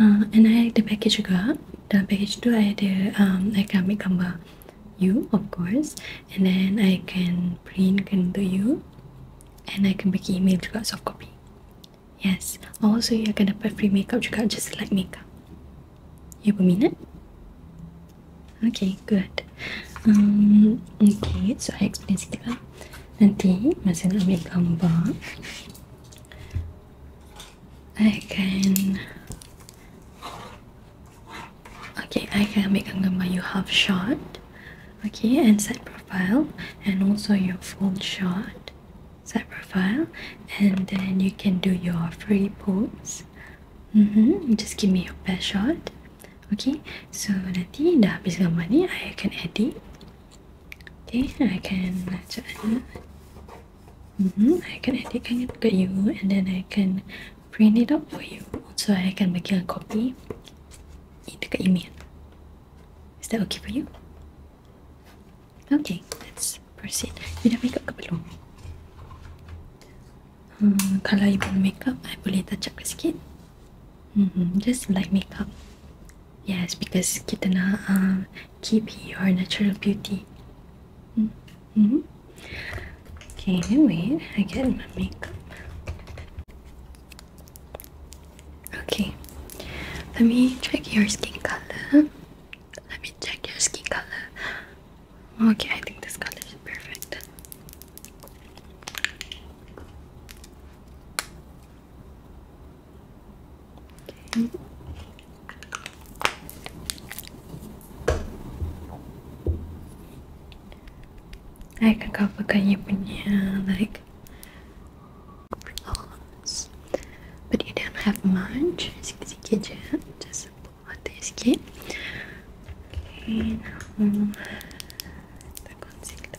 uh, and I ada package juga dalam package tu I ada um, I can make gambar you of course and then I can print kan untuk you and I can bagi email juga soft copy yes also you akan dapat free makeup juga just like makeup you berminat? okay good um, okay so I explain sikit lah nanti masa nak ambil gambar I can okay I can make a gambar you half shot okay and side profile and also your full shot side profile and then you can do your free pose mm -hmm. just give me your best shot okay so nanti dah habis gambar I can edit okay I can macam -hmm. I can edit kan kat you and then I can print it up for you so I can bagi a copy dekat email is that okay for you? okay let's proceed you dah make up ke belum? Hmm, kalau you belum make up I boleh touch up sikit mm -hmm. just light make up Yes, because kita na um, keep your natural beauty. Mm -hmm. Okay, wait. I get my makeup. Okay, let me check your skin color. Let me check your skin color. Okay, I think this color is perfect. Okay. Ay, kakapa kanya punya, like, flaws. But you don't have much, Just, sikit je. Just buat sikit. Okay, now, the concealer.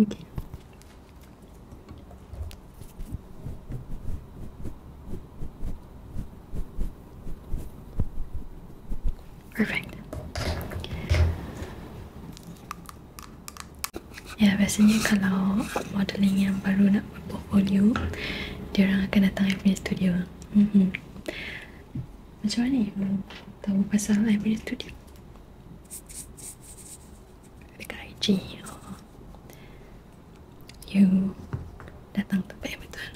Okay. Perfect. Ya, biasanya kalau modeling yang baru nak buat portfolio, dia orang akan datang ke studio. Mm -hmm. Macam mana orang tahu pasal I punya studio Dekat IG oh. You datang tempat yang betul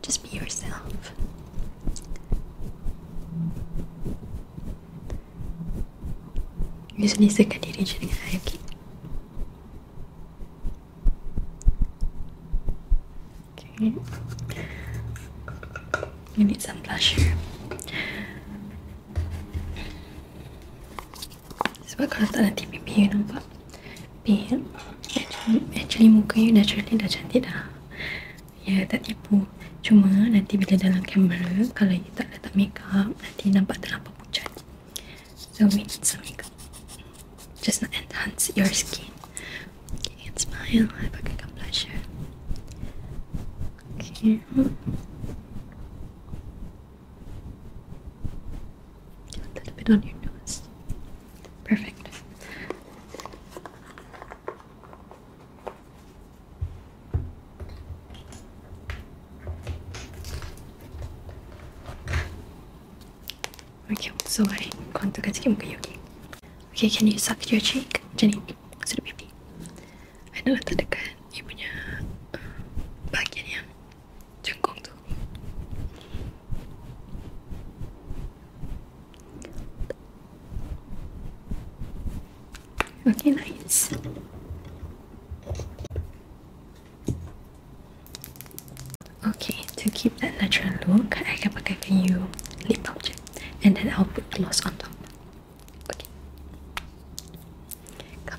Just be yourself You sendirikan diri je dengan I okay Okay. You need Sebab kalau nanti pipi you nampak pink. Actually, muka you naturally dah cantik dah. Ya, tak tipu. Cuma nanti bila dalam kamera, kalau you tak letak makeup, nanti nampak terlampau pucat. So we need some makeup. Just to enhance your skin. Can you can smile, have a good complexion. Okay. A little bit on your nose. Perfect. Okay, I'm so sorry. I'm going to get you, okay, okay? can you suck your cheek? Jenny, sudah pipi. I know that the guy. Okay, nice. Okay, to keep that natural look, I can pakai kayu lip object and then I'll put gloss on top. Okay. Come.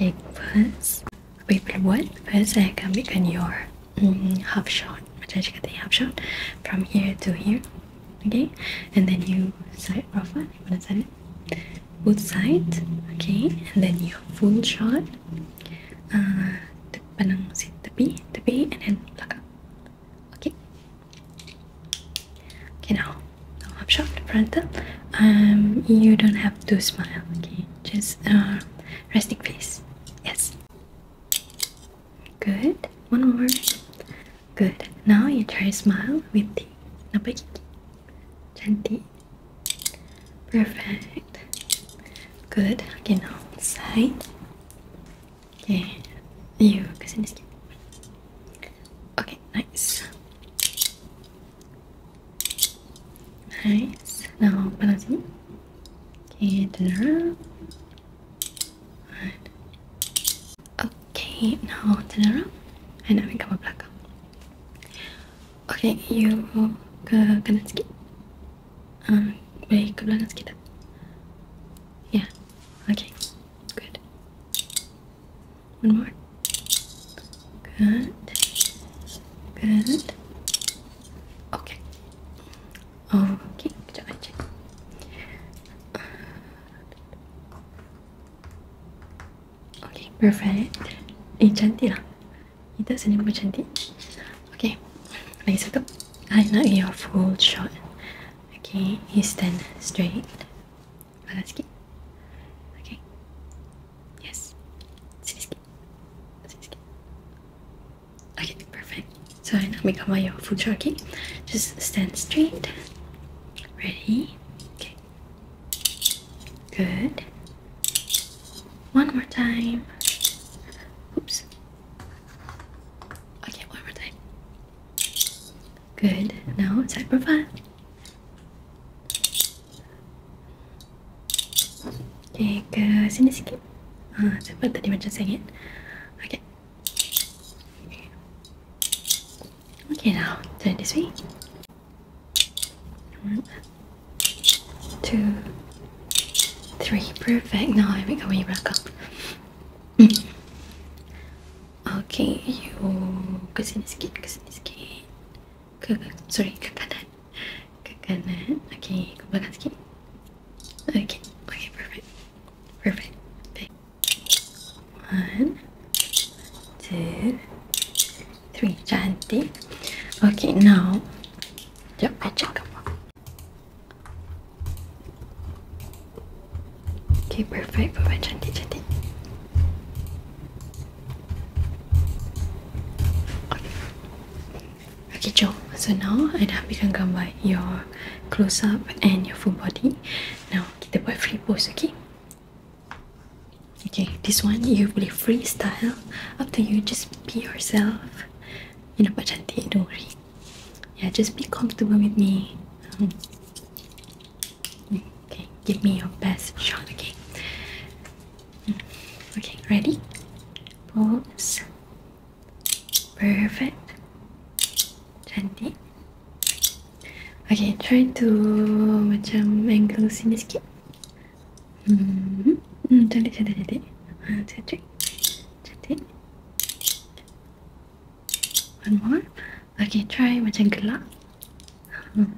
Like first people would first I can begin your mm, half shot. Macam cakap tadi half shot from here to here. Okay, and then you it, You wanna mana it? Both sides, Okay, and then your full shot. Uh, pandang si the tepi, and then belakang. Okay. Okay now. I'm sure Brandon. Um, you don't have to smile. Okay, just uh, resting face. Yes. Good. One more. Good. Now you try smile with the napai Cantik. Perfect. Good. Okay, outside. Okay. You kesini sikit. Okay, nice. Nice. Now open Okay, turn around. Right. Okay, now turn around. And now we come back. Okay, you ke kanan sikit. Um, baik ke belakang sikit Yeah. Okay. Good. One more. Good. Good. Okay. Okay. Good job. Check. Okay, perfect. Ini cantik lah. Kita senyum cantik. Okay. Lagi satu. I like your full shot. Okay, you stand straight. Malatsuki? Okay. Yes. Suzuki. Suzuki. Okay, perfect. So now become your full jockey. Just stand straight. Ready? Okay. Good. One more time. Oops. Okay, one more time. Good. Now for fun. Okay, ke sini sikit ha, Sebab tadi macam sengit Okay Okay now, turn this way hmm. Two, three, perfect. Now here we go. We back up. Hmm. Okay, you ke sini sikit, ke sini sikit. Ke, sorry, ke kanan. Ke kanan. Okay, ke belakang sikit. Okay. Okay, now Sekejap, I check Okay, perfect. Papa cantik-cantik. Okay. okay, So now, I dah ambilkan your close-up and your full body. Now, kita buat free pose, okay? Okay, this one you boleh freestyle. Up to you, just be yourself. You nampak cantik, don't worry. Yeah, just be comfortable with me. Um, Okay, give me your best shot. again. Mm, okay, ready? Pose. Perfect. Cantik. Okay, try to macam angle sini sikit. Hmm, hmm cantik, cantik, cantik. Cantik. One more. Okay, try macam gelap. Hmm.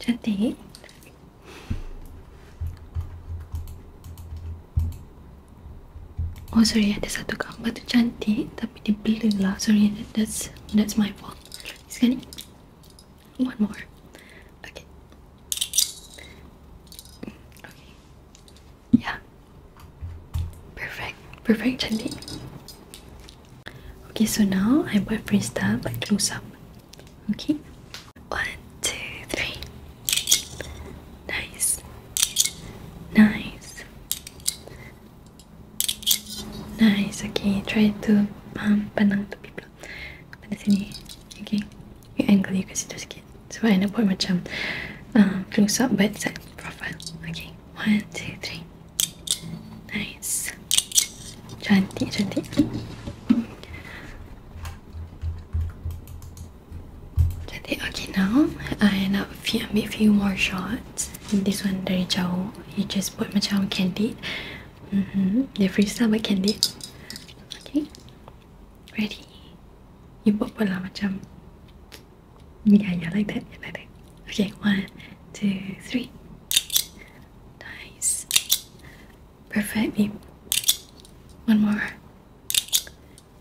Cantik. Oh sorry, ada satu gambar tu cantik tapi dia blur lah. Sorry, that's that's my fault. Sekali. One more. Okay. Yeah. Perfect. Perfect, Chandi. Okay, so now I'm going to freestyle by close up. Okay. One, two, three. Nice. Nice. Nice. Okay, try to um, pandang to people. Pada sini. Okay. you angle you ke situ sikit sebab I nak macam uh, close up bad side profile okay one two three nice cantik cantik cantik okay now I nak f- ambil few more shots this one dari jauh you just put macam candid mm-hmm. dia freestyle but candy. okay ready you put pun lah macam yeah yeah like that yeah like that okay one two three nice perfect babe one more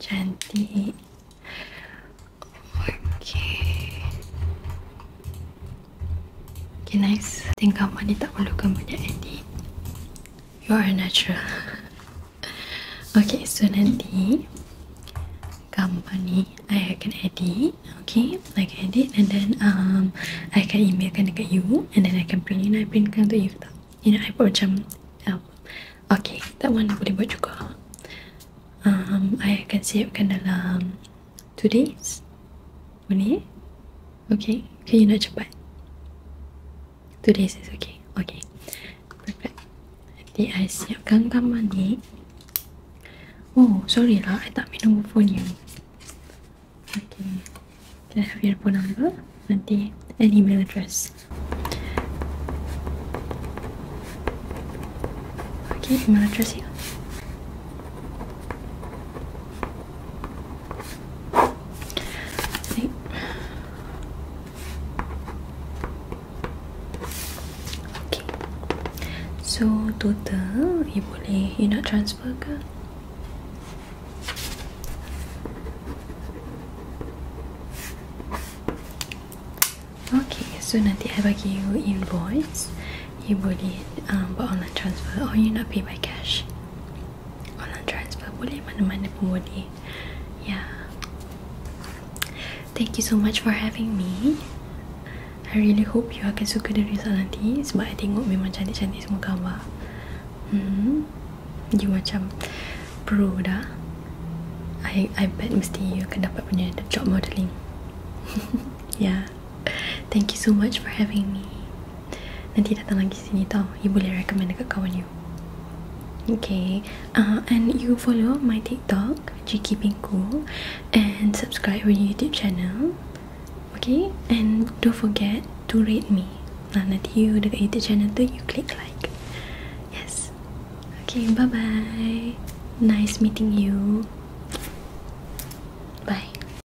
cantik okay okay nice tinggal mandi tak perlukan banyak edit You are a natural. okay, so nanti gambar ni I akan edit. Okay, Like edit and then um, I akan emailkan dekat you and then I can print in. I printkan to you You know, I buat macam album. Okay, that one boleh buat juga. Um, I akan siapkan dalam two days. Boleh? Okay, okay you nak cepat. Two days is okay. Okay. Perfect. Nanti I siapkan kamar ni. Oh, sorry lah. I tak minum phone you. Okay. Can I have your phone number? Nanti an email address. Okay, email address here. So total you boleh you nak transfer ke? Okay, so nanti I bagi you invoice. You boleh um, buat online transfer or you nak pay by cash online transfer boleh mana-mana pun boleh yeah thank you so much for having me I really hope you akan suka the result nanti sebab I tengok memang cantik-cantik semua gambar hmm you macam pro dah I, I bet mesti you akan dapat punya job modeling yeah Thank you so much for having me. Nanti datang lagi sini tau. You boleh recommend dekat kawan you. Okay. Uh, and you follow my TikTok, GK Pinku, and subscribe my YouTube channel. Okay? And don't forget to rate me. Nah, nanti you dekat YouTube channel tu, you click like. Yes. Okay, bye-bye. Nice meeting you. Bye.